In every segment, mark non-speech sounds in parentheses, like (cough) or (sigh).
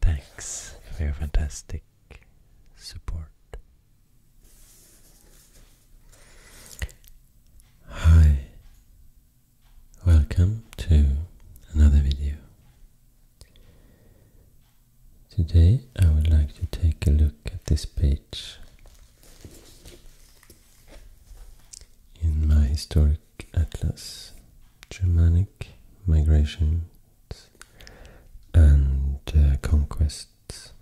Thanks for your fantastic support. Hi, welcome to another video. Today I would like to take a look at this page in my historic atlas, Germanic migration and uh, conquests.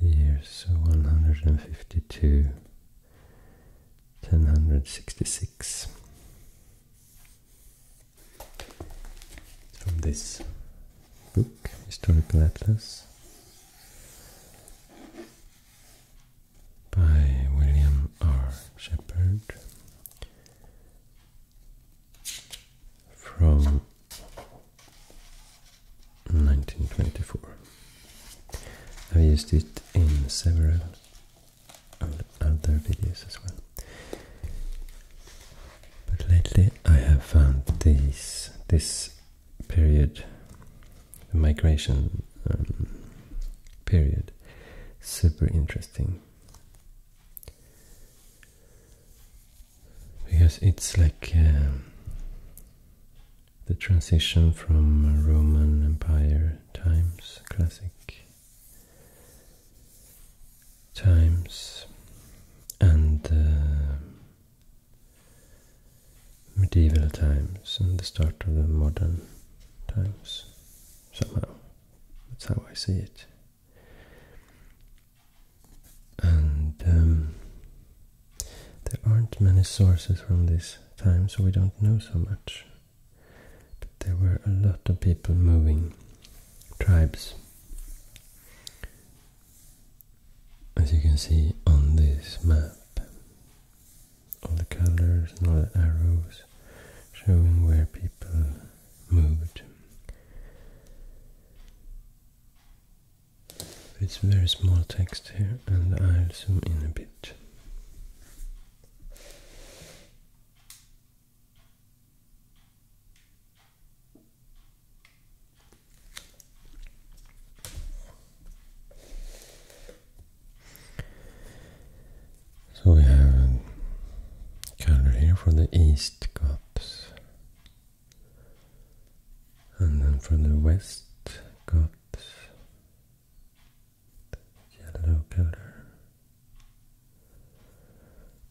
The years 152 1066 from this book, Historical Atlas by William R. Shepard from 1924. I've used it in several other videos as well. But lately I have found these, this period, the migration um, period, super interesting because it's like um, the transition from Roman Empire times, classic times, and uh, medieval times, and the start of the modern times. Somehow, that's how I see it. And um, there aren't many sources from this time, so we don't know so much. But there were a lot of people moving, tribes. As you can see on this map, all the colors and all the arrows showing where people it's very small text here and I'll zoom in a bit. So we have a color here for the East Goths. And then for the West Got yellow color.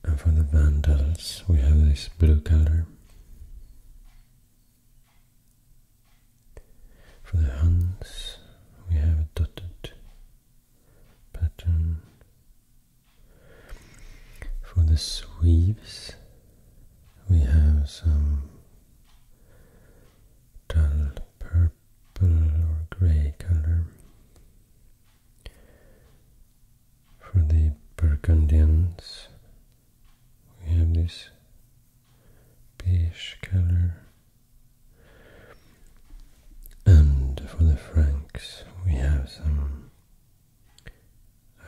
And for the Vandals, we have this blue color. For the Huns, we have a dotted pattern for the sweeps, we have some dull purple or grey color. For the Burgundians, we have this beige color. And for the Franks, we have some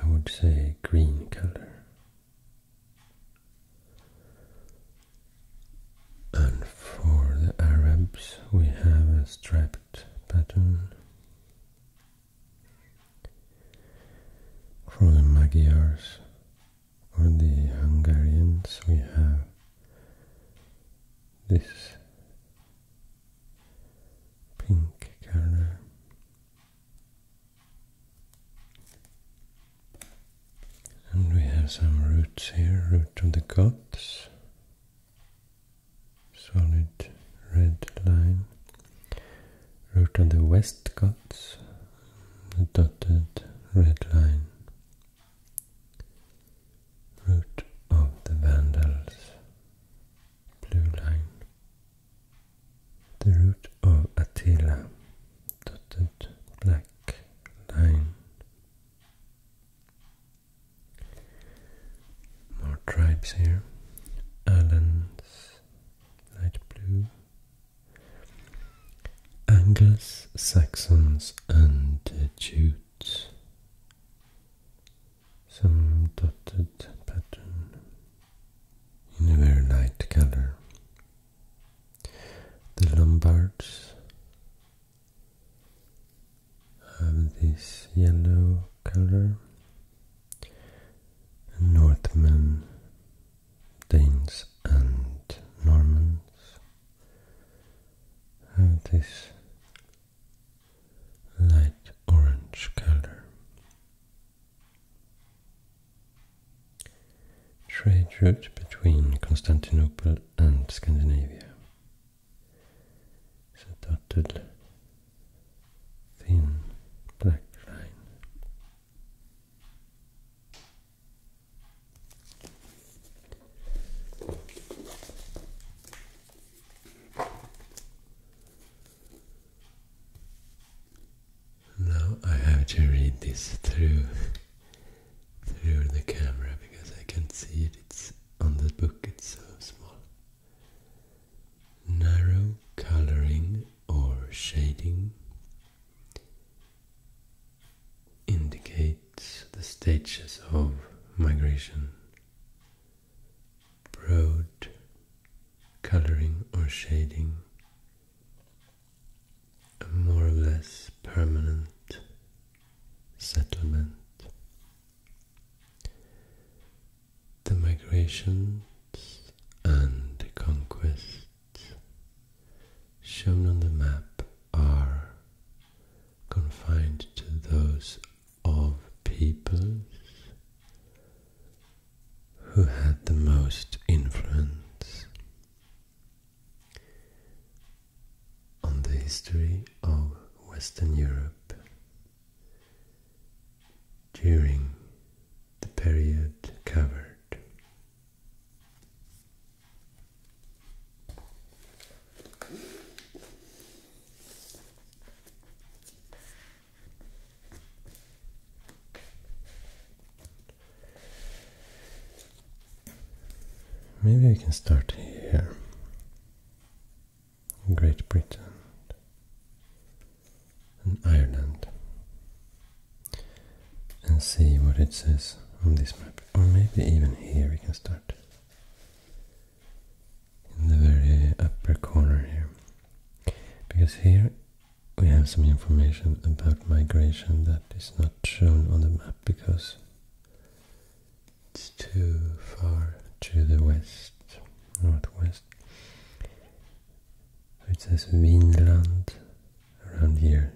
I would say green color. And for the Arabs, we have a striped pattern. For the Magyars or the Hungarians, we have this pink color. And we have some roots here, root of the Goths, solid red line, root of the West Goths, dotted red line, Root of the Vandals, blue line. The root of Attila, dotted black line. More tribes here. Alans, light blue. Angles, Saxons, and Jutes some dotted pattern in a very light color. The Lombards have this yellow color. Northmen, Danes and Normans have this light orange color. Trade route between Constantinople and Scandinavia. dotted thin black line. Now I have to read this through through the camera because I can't see it. It's on the book, it's so small. Narrow coloring or shading indicates the stages of migration broad coloring or shading, a more or less permanent settlement. The migrations and conquests shown on the map are confined to those of peoples who had the most influence on the history of Western Europe during the period covered. Maybe we can start here. Great Britain and Ireland and see what it says on this map. Or maybe even here we can start in the very upper corner here. Because here we have some information about migration that is not shown on the map because it's too far to the west, northwest. It says Vinland around here.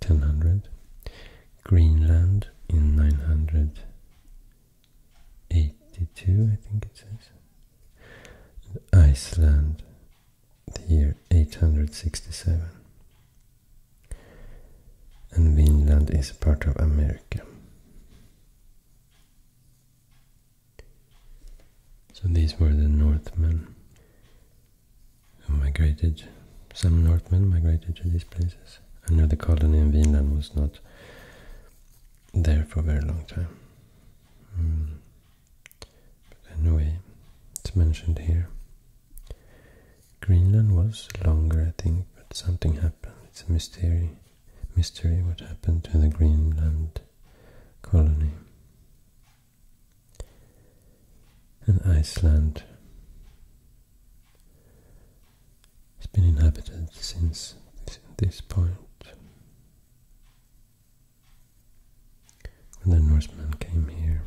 1000, Greenland in 900 82, I think it says. Iceland, the year 867. And Vinland is part of America. So these were the Northmen who migrated, some Northmen migrated to these places. I know the colony in Vinland was not there for a very long time. Hmm. But anyway, it's mentioned here. Greenland was longer, I think, but something happened. It's a mystery, mystery what happened to the Greenland colony. And Iceland it has been inhabited since this, this point. When the Norsemen came here.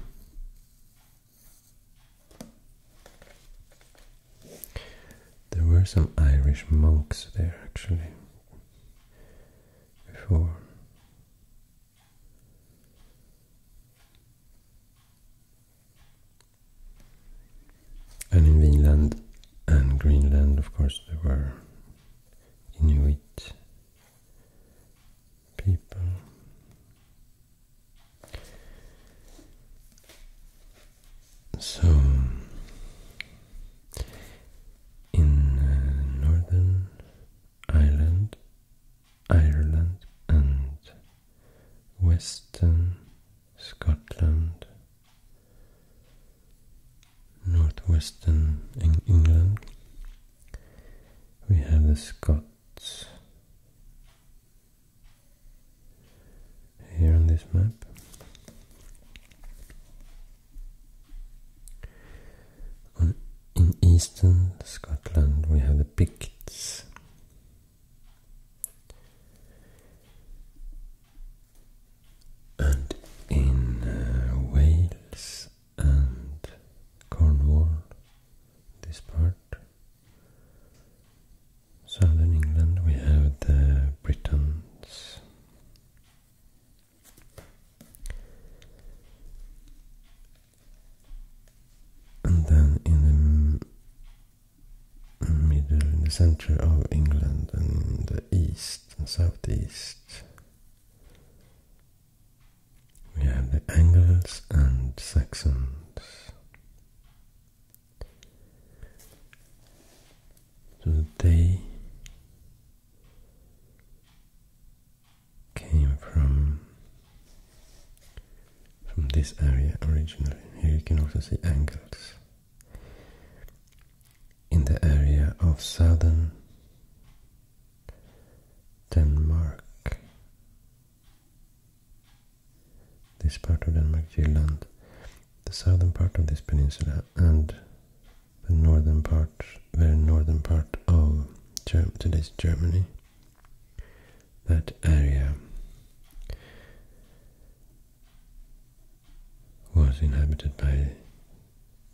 There were some Irish monks there actually before. And in Vinland and Greenland, of course, there were Inuit people. So, in uh, Northern Ireland, Ireland and Western Scotland, northwestern Eng England. We have the Scots here on this map. in eastern Scotland we have the Picts and in uh, Wales and Cornwall, this part, southern England, we have the Britons. And then in the middle, mm, in the center of England and the east and southeast. We have the Angles and Saxons. So they came from from this area originally. Here you can also see Angles in the area of southern Denmark. This part of Denmark, Jutland, the southern part of this peninsula, and the northern part, very northern part of today's Germany. That area was inhabited by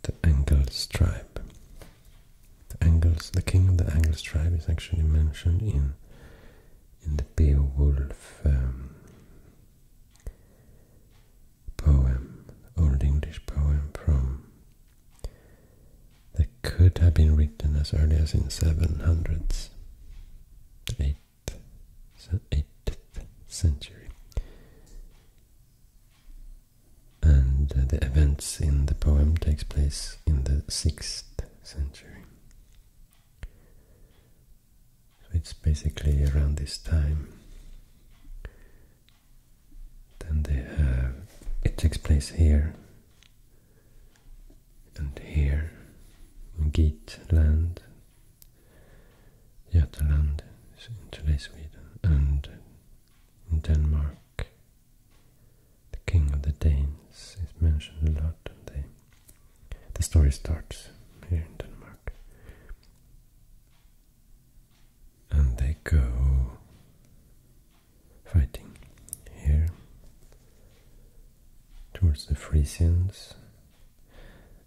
the Angles tribe. The Angles, the king of the Angles tribe, is actually mentioned in in the Beowulf um, poem, Old English poem from that could have been written as early as in 700s the 8th century. And uh, the events in the poem takes place in the 6th century. So it's basically around this time. Then they have... It takes place here and here on Geatland Götaland in today Sweden and Denmark the king of the Danes is mentioned a lot and the story starts here in Denmark and they go fighting here towards the Frisians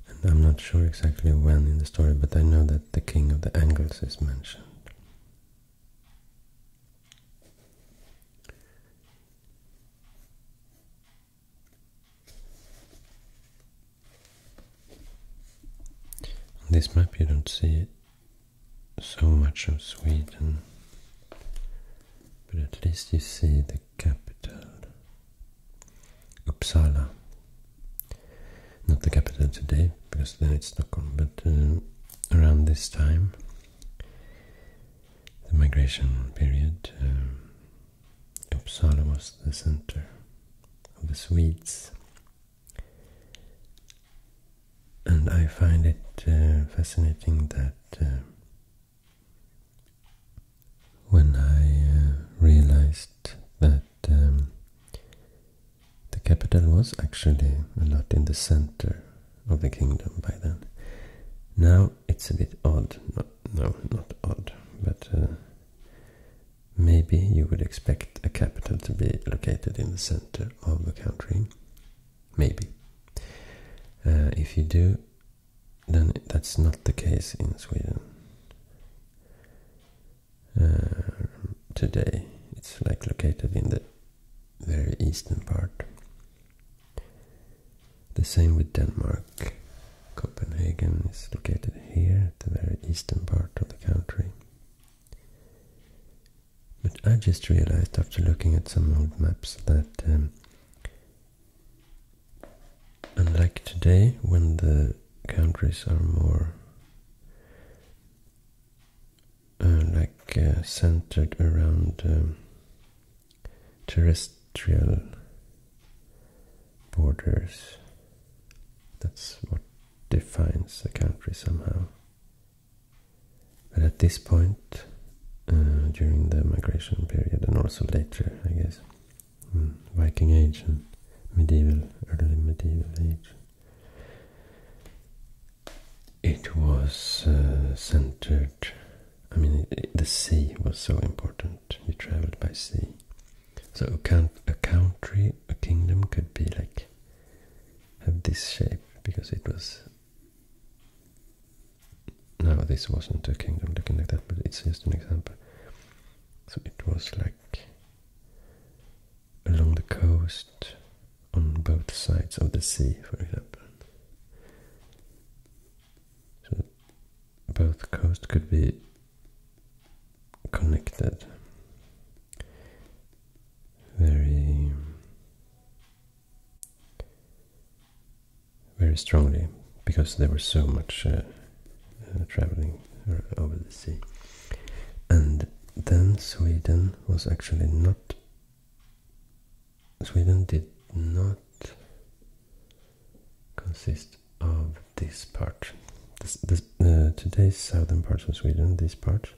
and I'm not sure exactly when in the story, but I know that the king of the Angles is mentioned. On this map you don't see so much of Sweden, but at least you see the capital. Uppsala. Not the capital today, because then it's Stockholm, but uh, around this time, the migration period, um, Uppsala was the center of the Swedes. And I find it uh, fascinating that uh, when I uh, realized that um, the capital was actually a lot in the center of the kingdom by then. Now it's a bit odd. No, not odd, but uh, maybe you would expect a capital to be located in the center of a country. Maybe. Uh, if you do, then that's not the case in Sweden. Uh, today it's like located in the very eastern part. The same with Denmark. Copenhagen is located here at the very eastern part of the country. But I just realized after looking at some old maps that um, and like today, when the countries are more uh, like uh, centered around um, terrestrial borders, that's what defines a country somehow. But at this point, uh, during the migration period and also later, I guess, Hmm, Viking Age and medieval, early medieval age. It was uh, centered, I mean, the sea was so important. You traveled by sea. So a, count, a country, a kingdom could be like, have this shape because it was now this wasn't a kingdom looking like that, but it's just an example. So it was like along the coast, on both sides of the sea, for example. So both coast could be connected. Very very strongly because there was so much uh, uh, traveling uh, over the sea. And then Sweden was actually not. Sweden did not consist of this part. today's southern parts of Sweden, this part,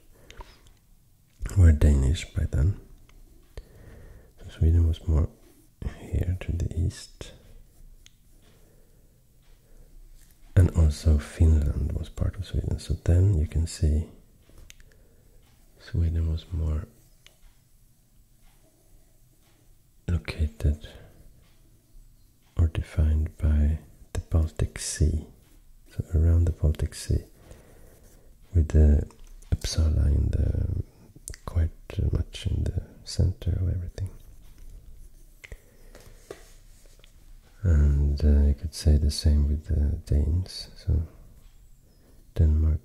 were Danish by then. So Sweden was more here to the east. And also Finland was part of Sweden. So then you can see Sweden was more located or defined by the Baltic Sea. So around the Baltic Sea with the Uppsala in the quite uh, much in the center of everything. And I uh, could say the same with the Danes. So Denmark,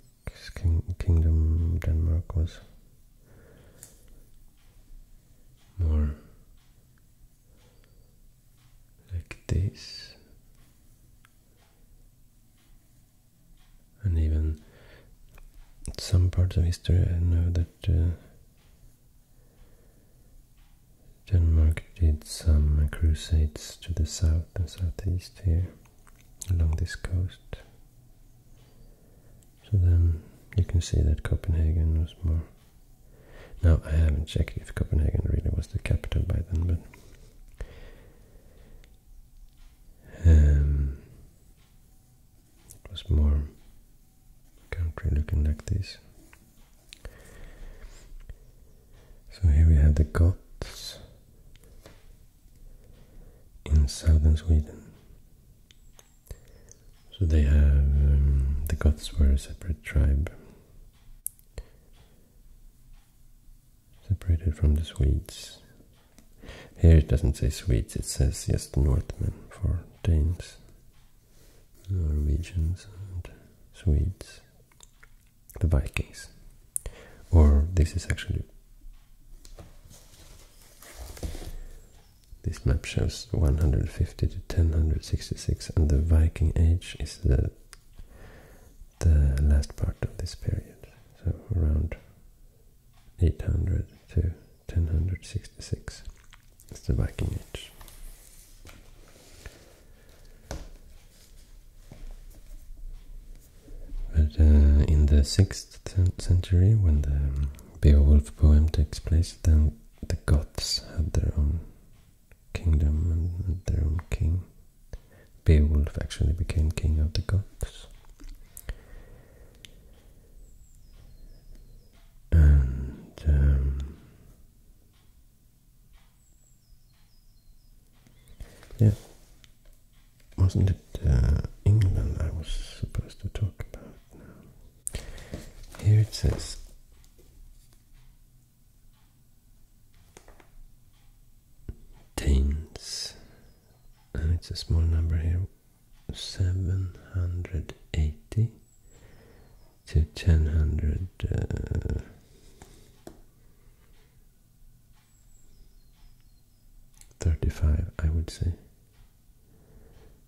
king kingdom, Denmark was more like this and even some parts of history I know that uh, Denmark did some crusades to the south and southeast here along this coast. So then you can see that Copenhagen was more. Now I haven't checked if Copenhagen really was the capital by then, but. Um, it was more country looking like this. So here we have the Goths in southern Sweden. So they have um, the Goths were a separate tribe, separated from the Swedes here it doesn't say Swedes, it says just Northmen for Danes, Norwegians and Swedes, the Vikings. Or this is actually... This map shows 150 to 1066 and the Viking Age is the the last part of this period, so around 800 to 1066 is the Viking Age. But uh, in the 6th century, when the Beowulf poem takes place, then the Goths had their own kingdom and their own king. Beowulf actually became king of the Goths and um, yeah, wasn't it uh, England I was supposed to talk about now? Here it says. Danes, and it's a small number here 780 to 1000 uh, Thirty-five, I would say.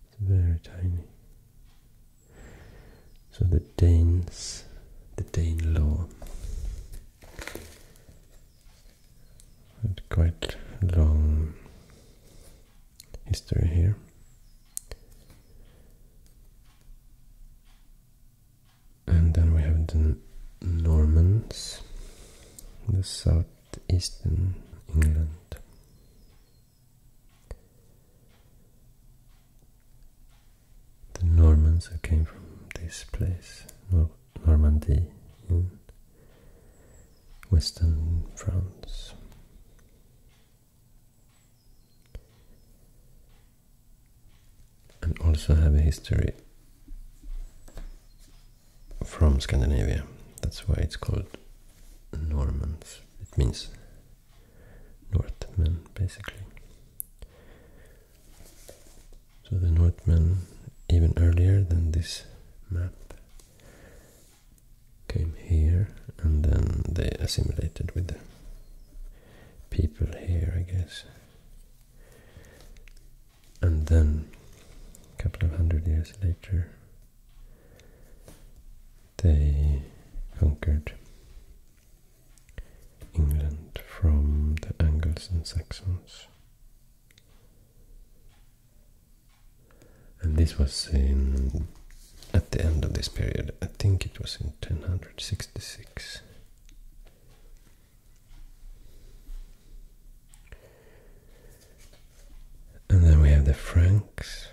It's very tiny. So the Danes, the Dane law, quite long history here. And then we have the Normans, the southeastern England. The Normans who came from this place, Normandy Western France. And also have a history from Scandinavia. That's why it's called Normans. It means Northmen, basically. So the Northmen, even earlier than this map, came here and then they assimilated with the people here, I guess. And then, a couple of hundred years later, they conquered England from the Angles and Saxons. And this was in at the end of this period. I think it was in 1066. And then we have the Franks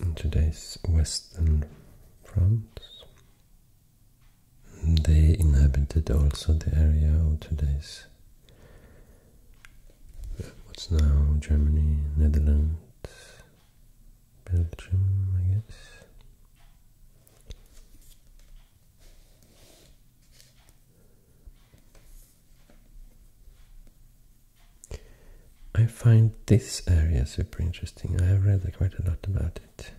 in today's western France. They inhabited also the area of today's What's now Germany, Netherlands, Belgium, I guess. I find this area super interesting. I have read quite a lot about it.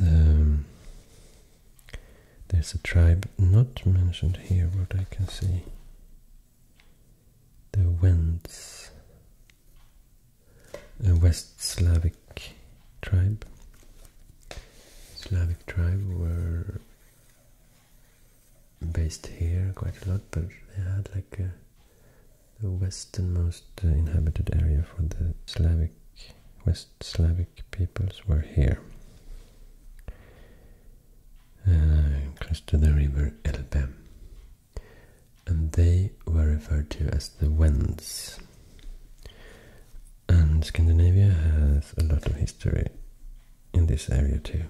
Um, there's a tribe not mentioned here, what I can see. The Wends, a West Slavic tribe. Slavic tribe were based here quite a lot, but they had like the westernmost inhabited area for the Slavic West Slavic peoples were here, uh, close to the river Elbe. And they were referred to as the Wends. And Scandinavia has a lot of history in this area too.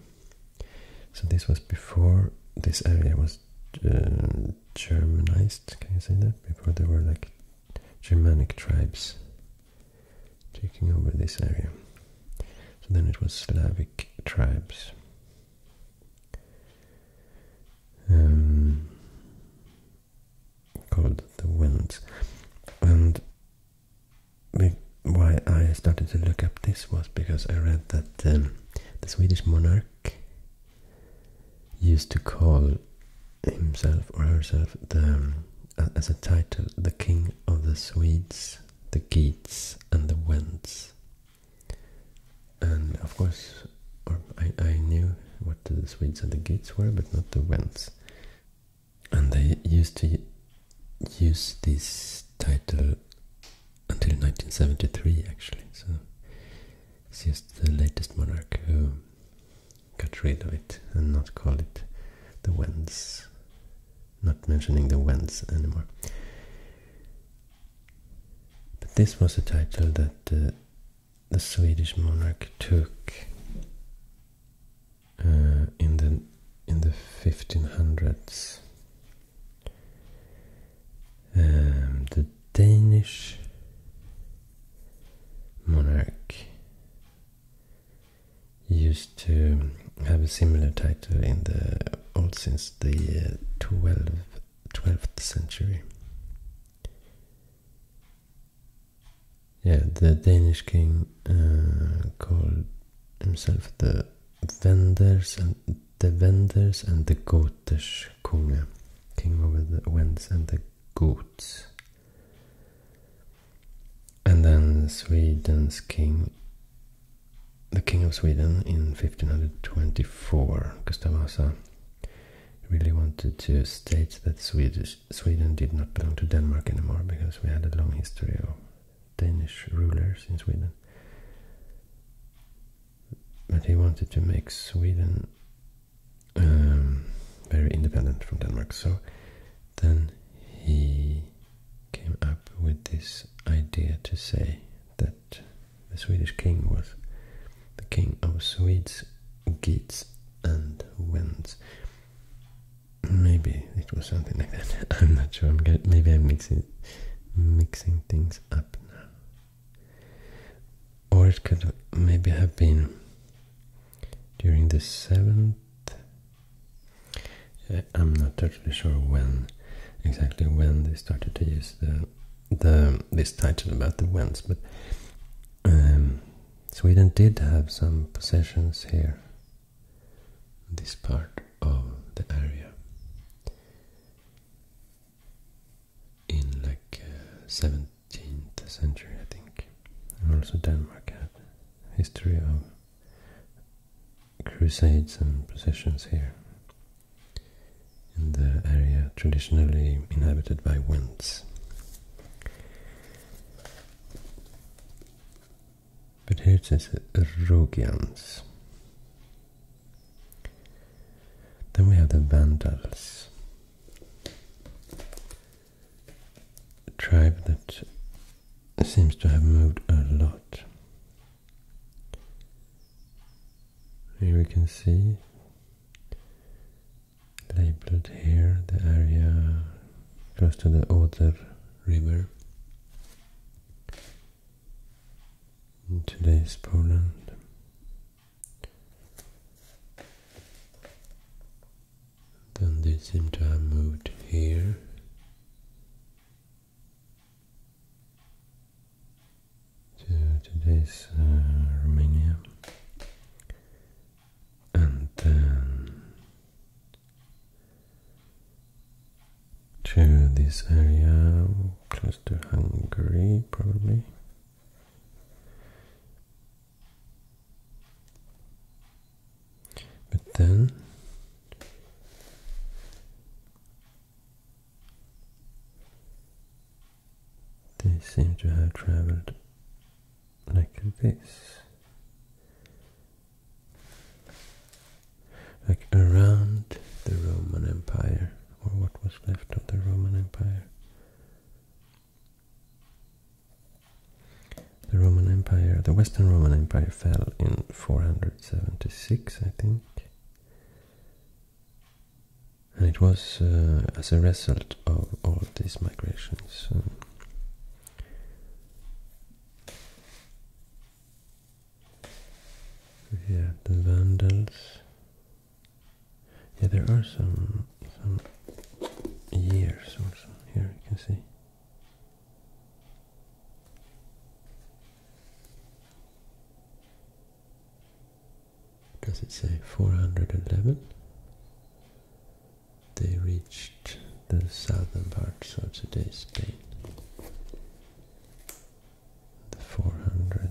So this was before this area was uh, Germanized, can you say that? Before they were like Germanic tribes taking over this area. So then it was Slavic tribes. Um, called the Wends. And why I started to look up this was because I read that um, the Swedish monarch used to call himself or herself the, uh, as a title, the king of the Swedes, the Geats, and the Wends. And of course, I, knew what the Swedes and the Geats were, but not the Wends. And they used to use this title until 1973, actually. So it's is the latest monarch who got rid of it and not call it the Wends. Not mentioning the Wends anymore. But this was a title that uh, the Swedish monarch took uh, in the in the 1500s. Danish monarch used to have a similar title in the old since the 12th, century. Yeah, the Danish king uh, called himself the Venders and the Venders and the Gotish Kunga, king over the Wends and the Goths. And then Sweden's king, the king of Sweden in 1524, Gustav Vasa, really wanted to state that Sweden did not belong to Denmark anymore because we had a long history of Danish rulers in Sweden. But he wanted to make Sweden um, very independent from Denmark. So then he came up with this idea to say that the Swedish king was the king of Swedes, Geats, and Wends. Maybe it was something like that. (laughs) I'm not sure. maybe I'm mixing mixing things up now or it could maybe have been during the 7th. Uh, I'm not totally sure when exactly when they started to use the the this title about the Wends, but um, Sweden did have some possessions here, this part of the area, in like uh, 13th century, I think. And also Denmark had history of crusades and possessions here in the area traditionally inhabited by Wends. But here it says Rogians. Then we have the Vandals tribe that seems to have moved a lot. Here we can see labeled here the area close to the Oder River in today's Poland. Then they seem to have moved here. To today's uh, Romania, and then to this area close to Hungary, probably, but then they seem to have traveled like this, like around the Roman Empire, or what was left of the Roman Empire. The Roman Empire, the Western Roman Empire fell in 476, I think. And it was uh, as a result of all these migrations. yeah, um, the Vandals yeah, there are some, some years also. Here you can see. Does it say 411? They reached the southern part of today's Spain. The 400th.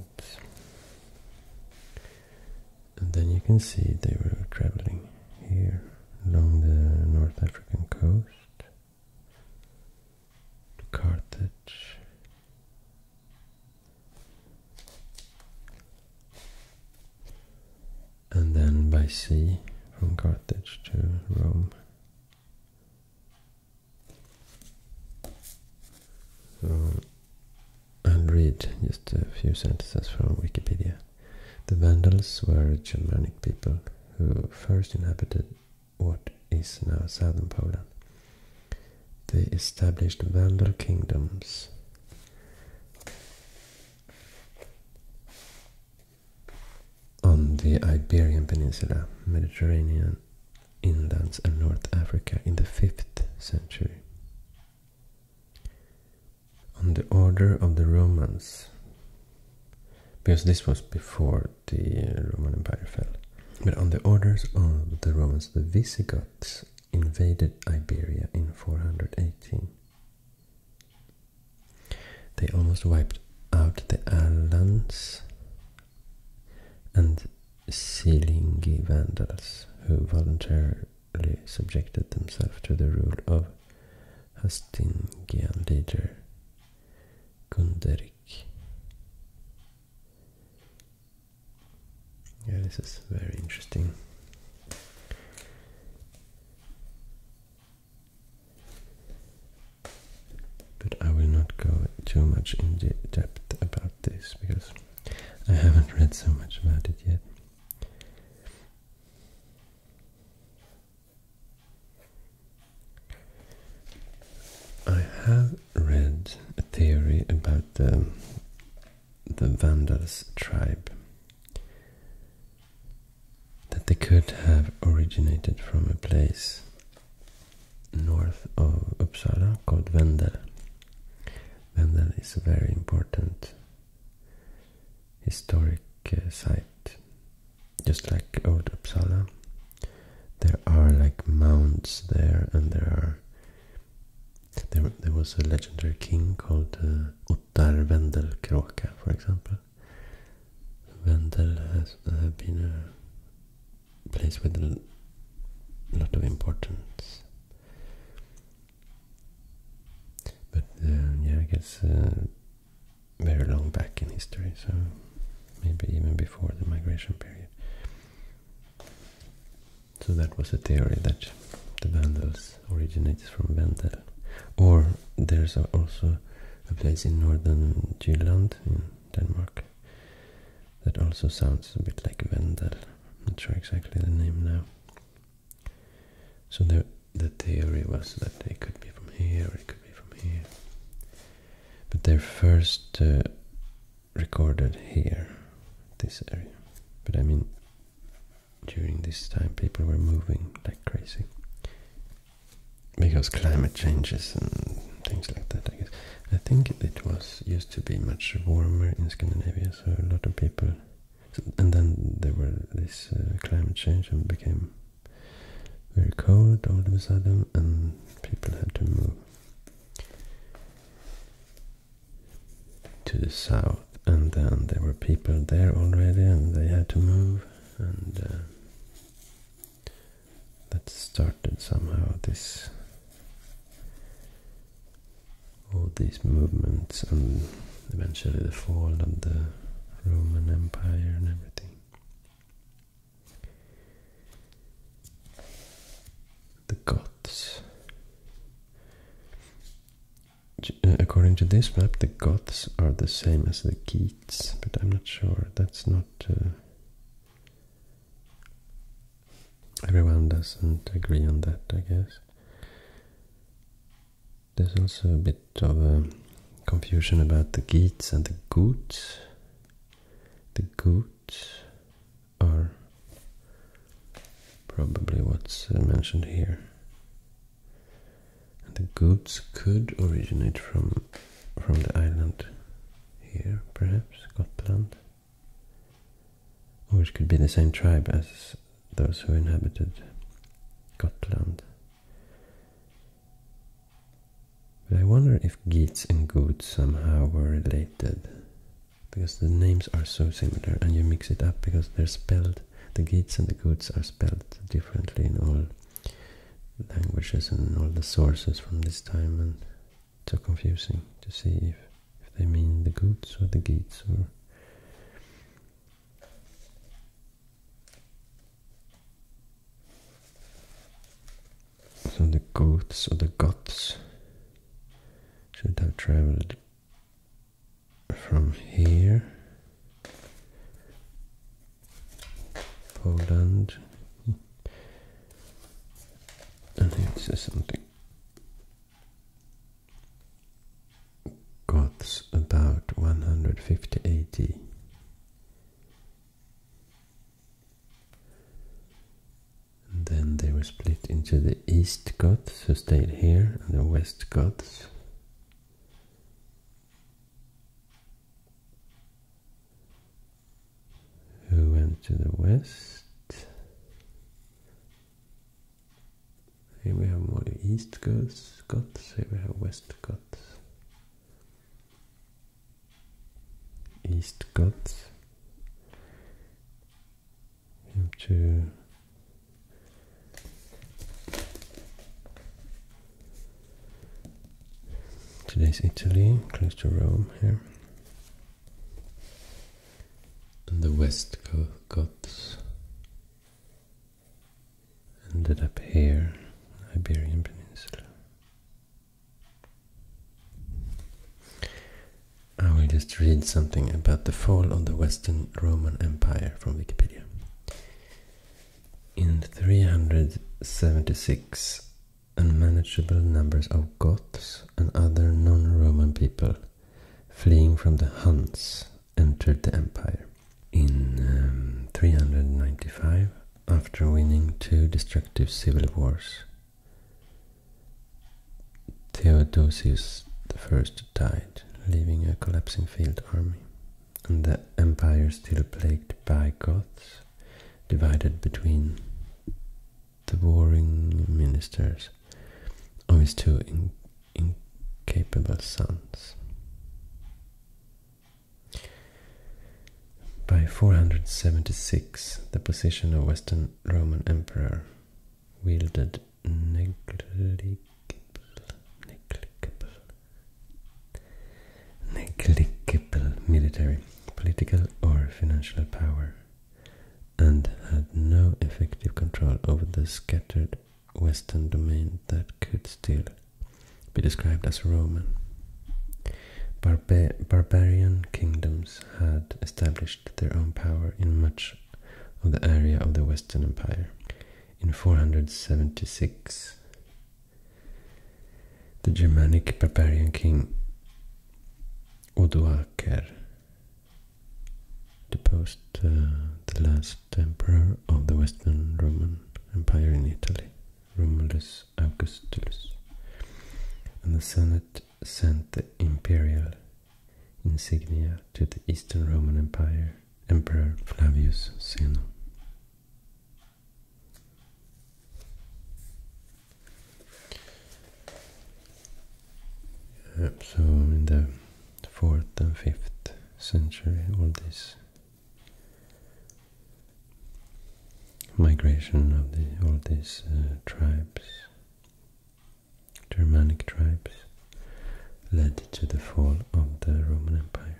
And then you can see they were traveling here along the North African coast to Carthage. And then by sea from Carthage to Rome. And read just a few sentences from Wikipedia. The Vandals were a Germanic people who first inhabited what is now southern Poland. They established Vandal kingdoms on the Iberian Peninsula, Mediterranean inlands and North Africa in the 5th century on the order of the Romans, because this was before the uh, Roman Empire fell. But on the orders of the Romans, the Visigoths invaded Iberia in 418. They almost wiped out the Alans and Silingi Vandals, who volunteered ultimately subjected themselves to the rule of Hastingian leader Gunderic. Yeah, this is very interesting. But I will not go too much in depth about this because I haven't read so much about it yet. I have read a theory about the the Vandals tribe that they could have originated from a place north of Upsala called Vendel. Vendel is very important historic uh, site, just like Old Uppsala. There are like mounds there, and there are. There, there was a legendary king called uh, Ottar Vendelkråka, for example. Vendel has uh, been a place with a lot of importance but um, yeah, I guess uh, very long back in history, so maybe even before the migration period. So that was a theory that the Vandals originated from Vendel. Or there's also a place in northern Jylland in Denmark that also sounds a bit like Vendel. I'm not sure exactly the name now. So the, the theory was that they could be from here, it could be from here. But they're first uh, recorded here, this area. But I mean, during this time people were moving like crazy. Because climate changes and things like that, I guess. I think it was used to be much warmer in Scandinavia, so a lot of people and then there were this uh, climate change and became very cold all of a sudden, and people had to move to the south. And then there were people there already, and they had to move, and uh, that started somehow this all these movements and eventually the fall of the Roman Empire and everything. The Goths. Uh, according to this map, the Goths are the same as the Geats, but I'm not sure. That's not... Uh, everyone doesn't agree on that, I guess. There's also a bit of uh, confusion about the Geats and the Goots. The Goots are probably what's uh, mentioned here. the Goots could originate from from the island here, perhaps, Gotland. Or it could be the same tribe as those who inhabited Gotland. But I wonder if Geats and Goods somehow were related. Because the names are so similar and you mix it up because they're spelled, the Geats and the Goods are spelled differently in all languages and all the sources from this time and so confusing to see if, if they mean the Goods or the Geats or so the Goths or the Goths should have traveled from here, Poland, hmm. I think it says something Goths about 150 AD. then they were split into the East Goths who stayed here and the West Goths. Who went to the west? Here we have more East Scots, here we have West Scots. East Scots. We to Today's Italy, close to Rome here. And the West Scots ended up here, Iberian Peninsula. I will just read something about the fall of the Western Roman Empire from Wikipedia. In 376, unmanageable numbers of Goths and other non-Roman people fleeing from the Huns entered the empire. In um, 395, after winning two destructive civil wars, Theodosius I died, leaving a collapsing field army, and the empire still plagued by Goths, divided between the warring ministers always his two incapable sons. By 476, the position of Western Roman Emperor wielded negligible, negligible, negligible military, political, or financial power, and had no effective control over the scattered Western domain that could still be described as Roman. barbarian kingdoms had established their own power in much of the area of the Western Empire. In 476, the Germanic barbarian king Odoacer deposed uh, the last emperor of the Western Roman Empire in Italy, Romulus Augustulus. And the Senate sent the imperial insignia to the Eastern Roman Empire Emperor Flavius Zeno. 4th and 5th century, all this migration of all these uh, tribes, Germanic tribes, led to the fall of the Roman Empire.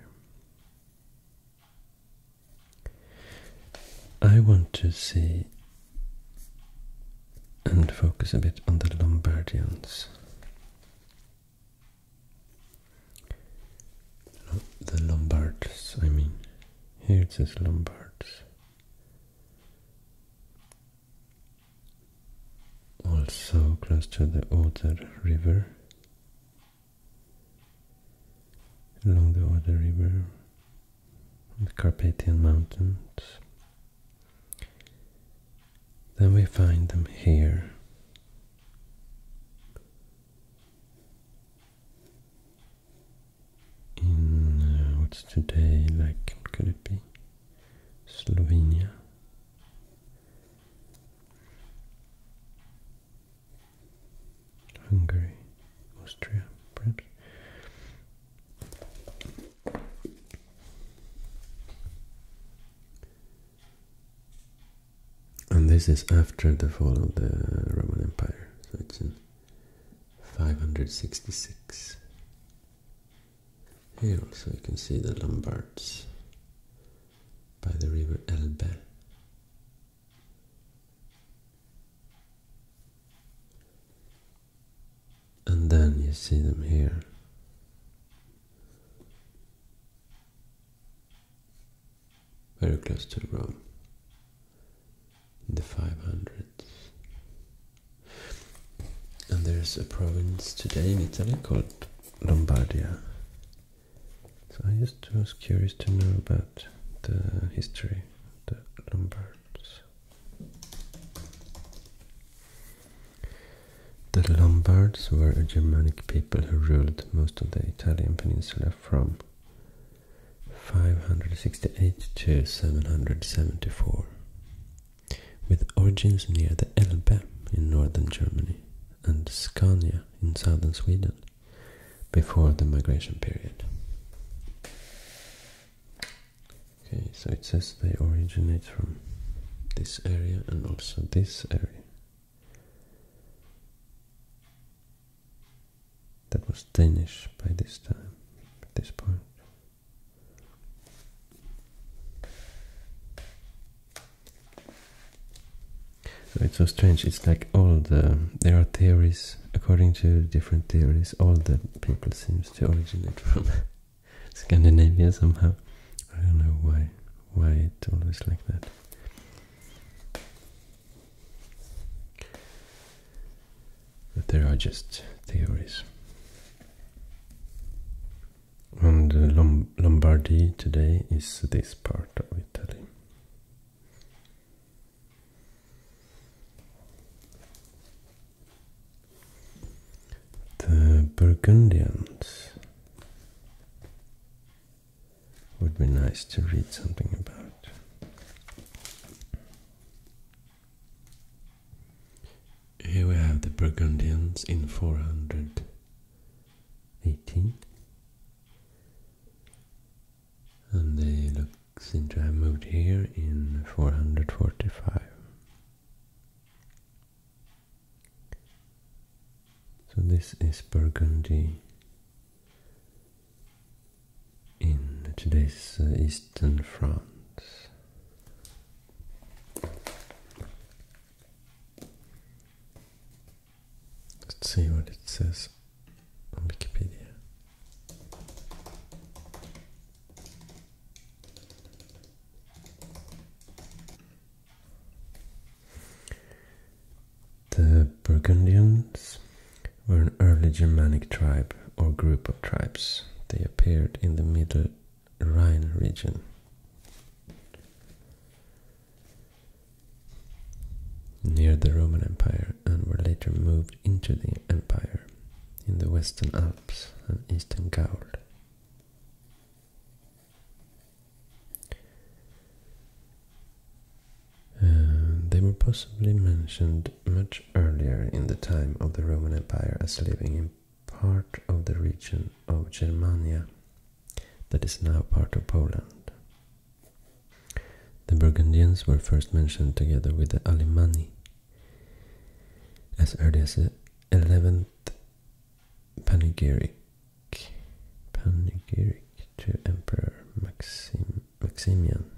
I want to see and focus a bit on the Lombardians. The Lombards, I mean. Here it says Lombards. Also close to the Oder River. Along the Oder River, the Carpathian Mountains. Then we find them here. In uh, what's today, like, could it be? Slovenia. Hungary, Austria, perhaps. And this is after the fall of the Roman Empire, so it's in 566. Here so you can see the Lombards by the river Elbe. And then you see them here very close to Rome, in the 500s. And there's a province today in Italy called Lombardia. So I just was curious to know about the history of the Lombards. The Lombards were a Germanic people who ruled most of the Italian peninsula from 568 to 774, with origins near the Elbe in northern Germany and Scania in southern Sweden before the migration period. Okay, so it says they originate from this area and also this area. That was Danish by this time, at this point. So it's so strange. It's like all the there are theories according to different theories. All the people seems to originate from (laughs) Scandinavia somehow. I don't know why why it's always like that. But there are just theories. And uh, Lombardy today is this part of Italy. The Burgundians would be nice to read something about. Here we have the Burgundians in 418. And they look seem to have moved here in 445. So this is Burgundy in today's uh, eastern France. Let's see what it says on Wikipedia. The Burgundians were an early Germanic tribe or group of tribes. They appeared in the Middle Rhine region. Near the Roman Empire and were later moved into the Empire in the Western Alps and Eastern Gaul. Uh, they were possibly mentioned much earlier in the time of the Roman Empire as living in part of the region of Germania that is now part of Poland. The Burgundians were first mentioned together with the Alemanni as early as 11th panegyric panegyric to Emperor Maximian.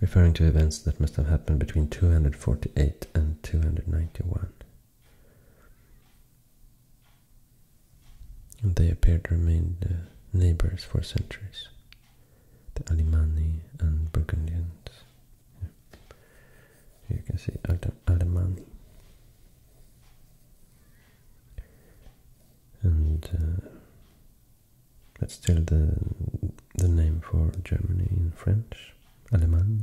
Referring to events that must have happened between 248 and 291. they appeared to remain neighbors for centuries the Allemanni and Burgundians. you can see Allemanni, And uh, that's still the the name for Germany in French, Alemanni.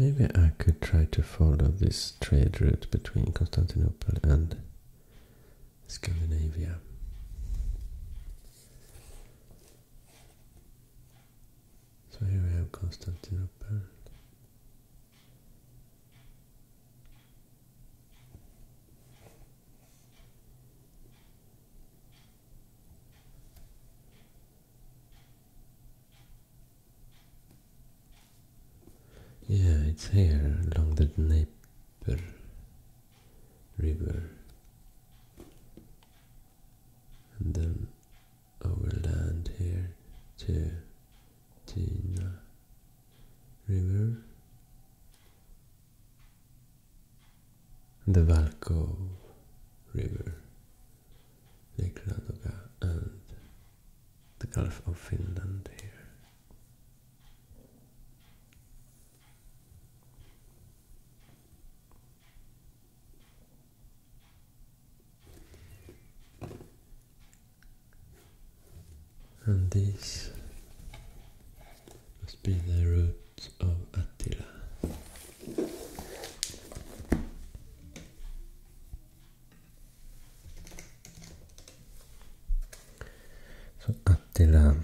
Maybe I could try to follow this trade route between Constantinople and Scandinavia. So here we have Constantinople. Yeah, it's here along the Dnieper River. And then our here to Tina River, the Valco River, Lake Ladoga, and the Gulf of Finland here. And this must be the roots of Attila. So Attila,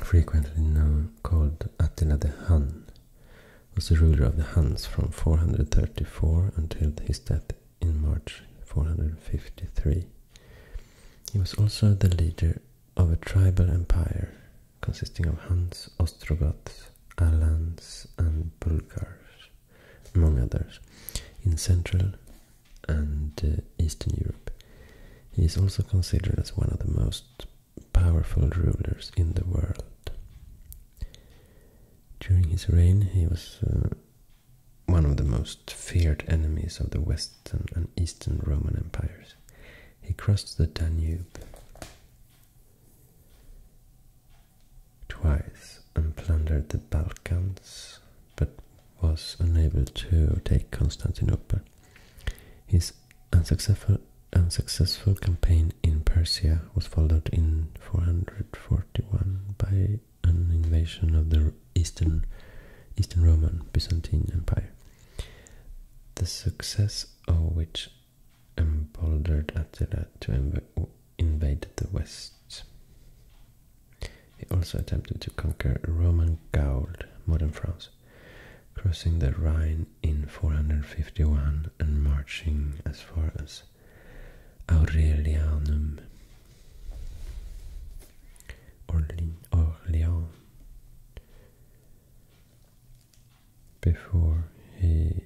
frequently known called Attila the Hun, was the ruler of the Huns from 434 until his death in March 453. He was also the leader of a tribal empire consisting of Huns, Ostrogoths, Alans, and Bulgars, among others, in Central and uh, Eastern Europe. He is also considered as one of the most powerful rulers in the world. During his reign, he was uh, one of the most feared enemies of the Western and Eastern Roman empires. He crossed the Danube twice and plundered the Balkans, but was unable to take Constantinople. His unsuccessful, unsuccessful campaign in Persia was followed in 441 by an invasion of the Eastern, Eastern Roman Byzantine Empire, the success of which emboldered Attila to invade the West. He also attempted to conquer Roman Gaul, modern France, crossing the Rhine in 451 and marching as far as Aurelianum Orlean, Orleans before he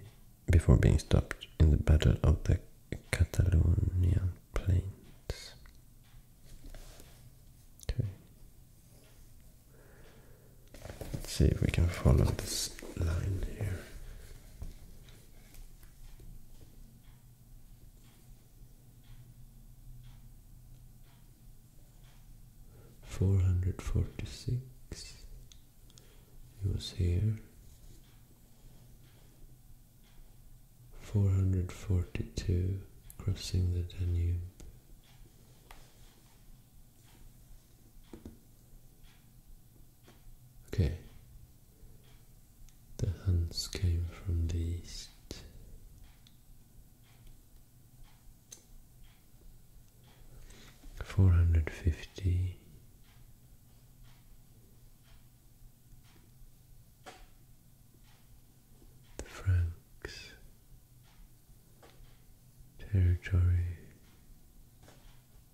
before being stopped in the Battle of the Catalonian Plains. Let's see if we can follow this line here. Four hundred forty six. It was here. Four hundred forty two, crossing the Danube. Okay. The Huns came from the east. Four hundred fifty the Franks territory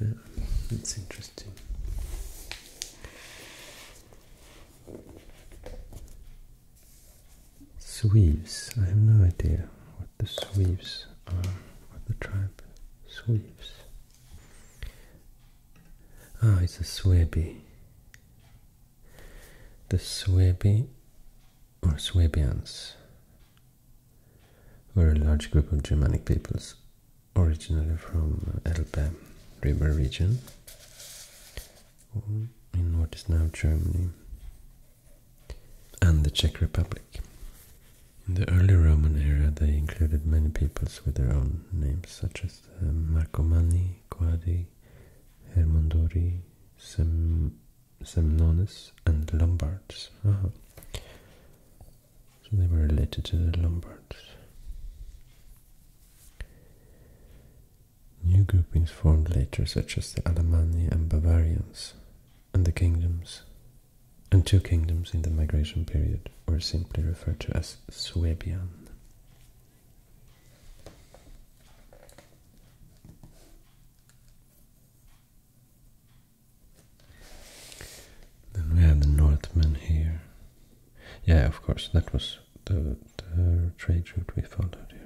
Yeah, it's interesting. Sweeps. I have no idea what the Sweeps are, what the tribe Sweeps. Ah, oh, it's a Swebi the Suebi or Suebians were a large group of Germanic peoples originally from Elbe river region in what is now Germany and the Czech Republic. In the early Roman era they included many peoples with their own names such as the uh, Marcomanni, Quadi, Mondori, Hermondori, Sem Semnones, and Lombards. So they were related to the Lombards. New groupings formed later, such as the Alemanni and Bavarians, and the kingdoms, and two kingdoms in the migration period were simply referred to as Suebian. Then we have the Northmen here. Yeah, of course, that was the, the trade route we followed here.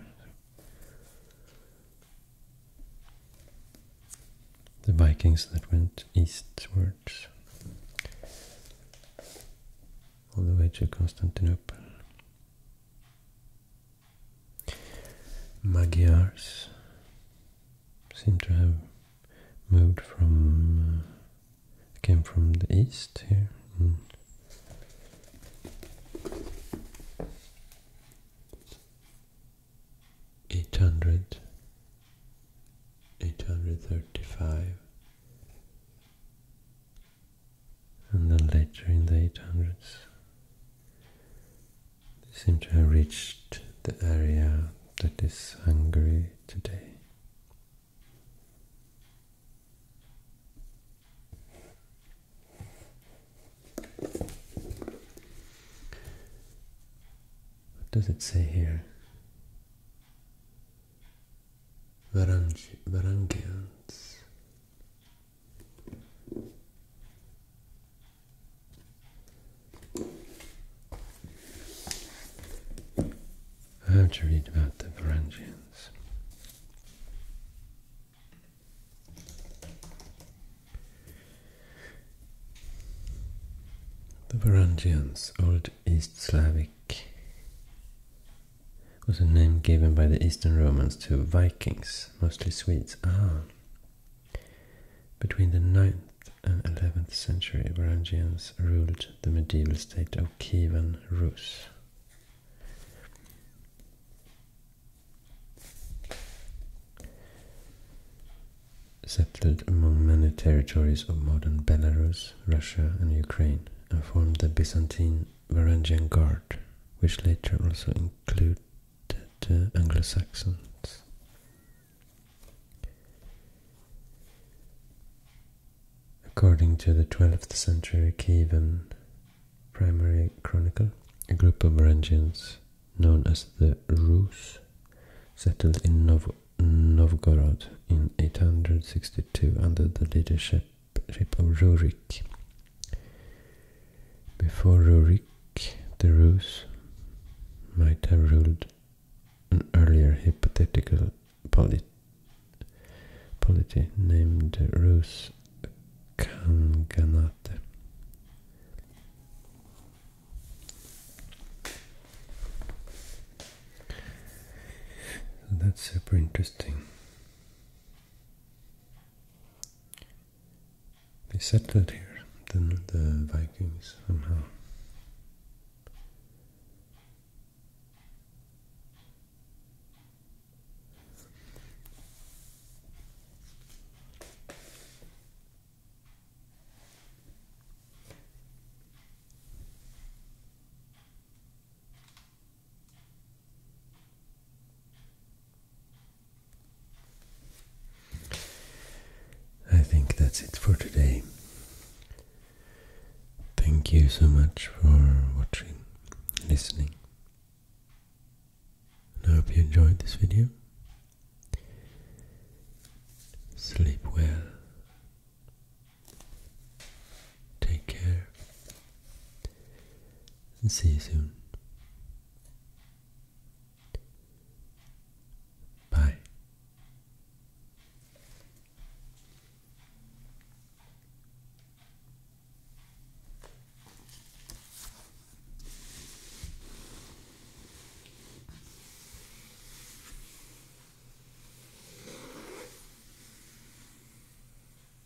The Vikings that went eastwards all the way to Constantinople. Magyars seem to have moved from, uh, came from the east here. Eight hundred, eight hundred thirty-five, and then later in the 800s they seem to have reached the area that is Hungary today. What does it say here? Varangians. I have to read about the Varangians. The Varangians, Old East Slavic was a name given by the Eastern Romans to Vikings, mostly Swedes. Ah. Between the 9th and 11th century, Varangians ruled the medieval state of Kievan Rus. Settled among many territories of modern Belarus, Russia, and Ukraine, and formed the Byzantine Varangian Guard, which later also included uh, Anglo-Saxons. According to the 12th century Kievan primary chronicle, a group of Varangians known as the Rus settled in Novgorod in 862 under the leadership before Rurik, the Rus might have ruled an earlier hypothetical polity named Rus Kanganate. That's super interesting. They settled here, then the Vikings somehow. I think that's it for today. Thank you so much for watching, listening. I hope you enjoyed this video. Sleep well. Take care see you soon. Bye.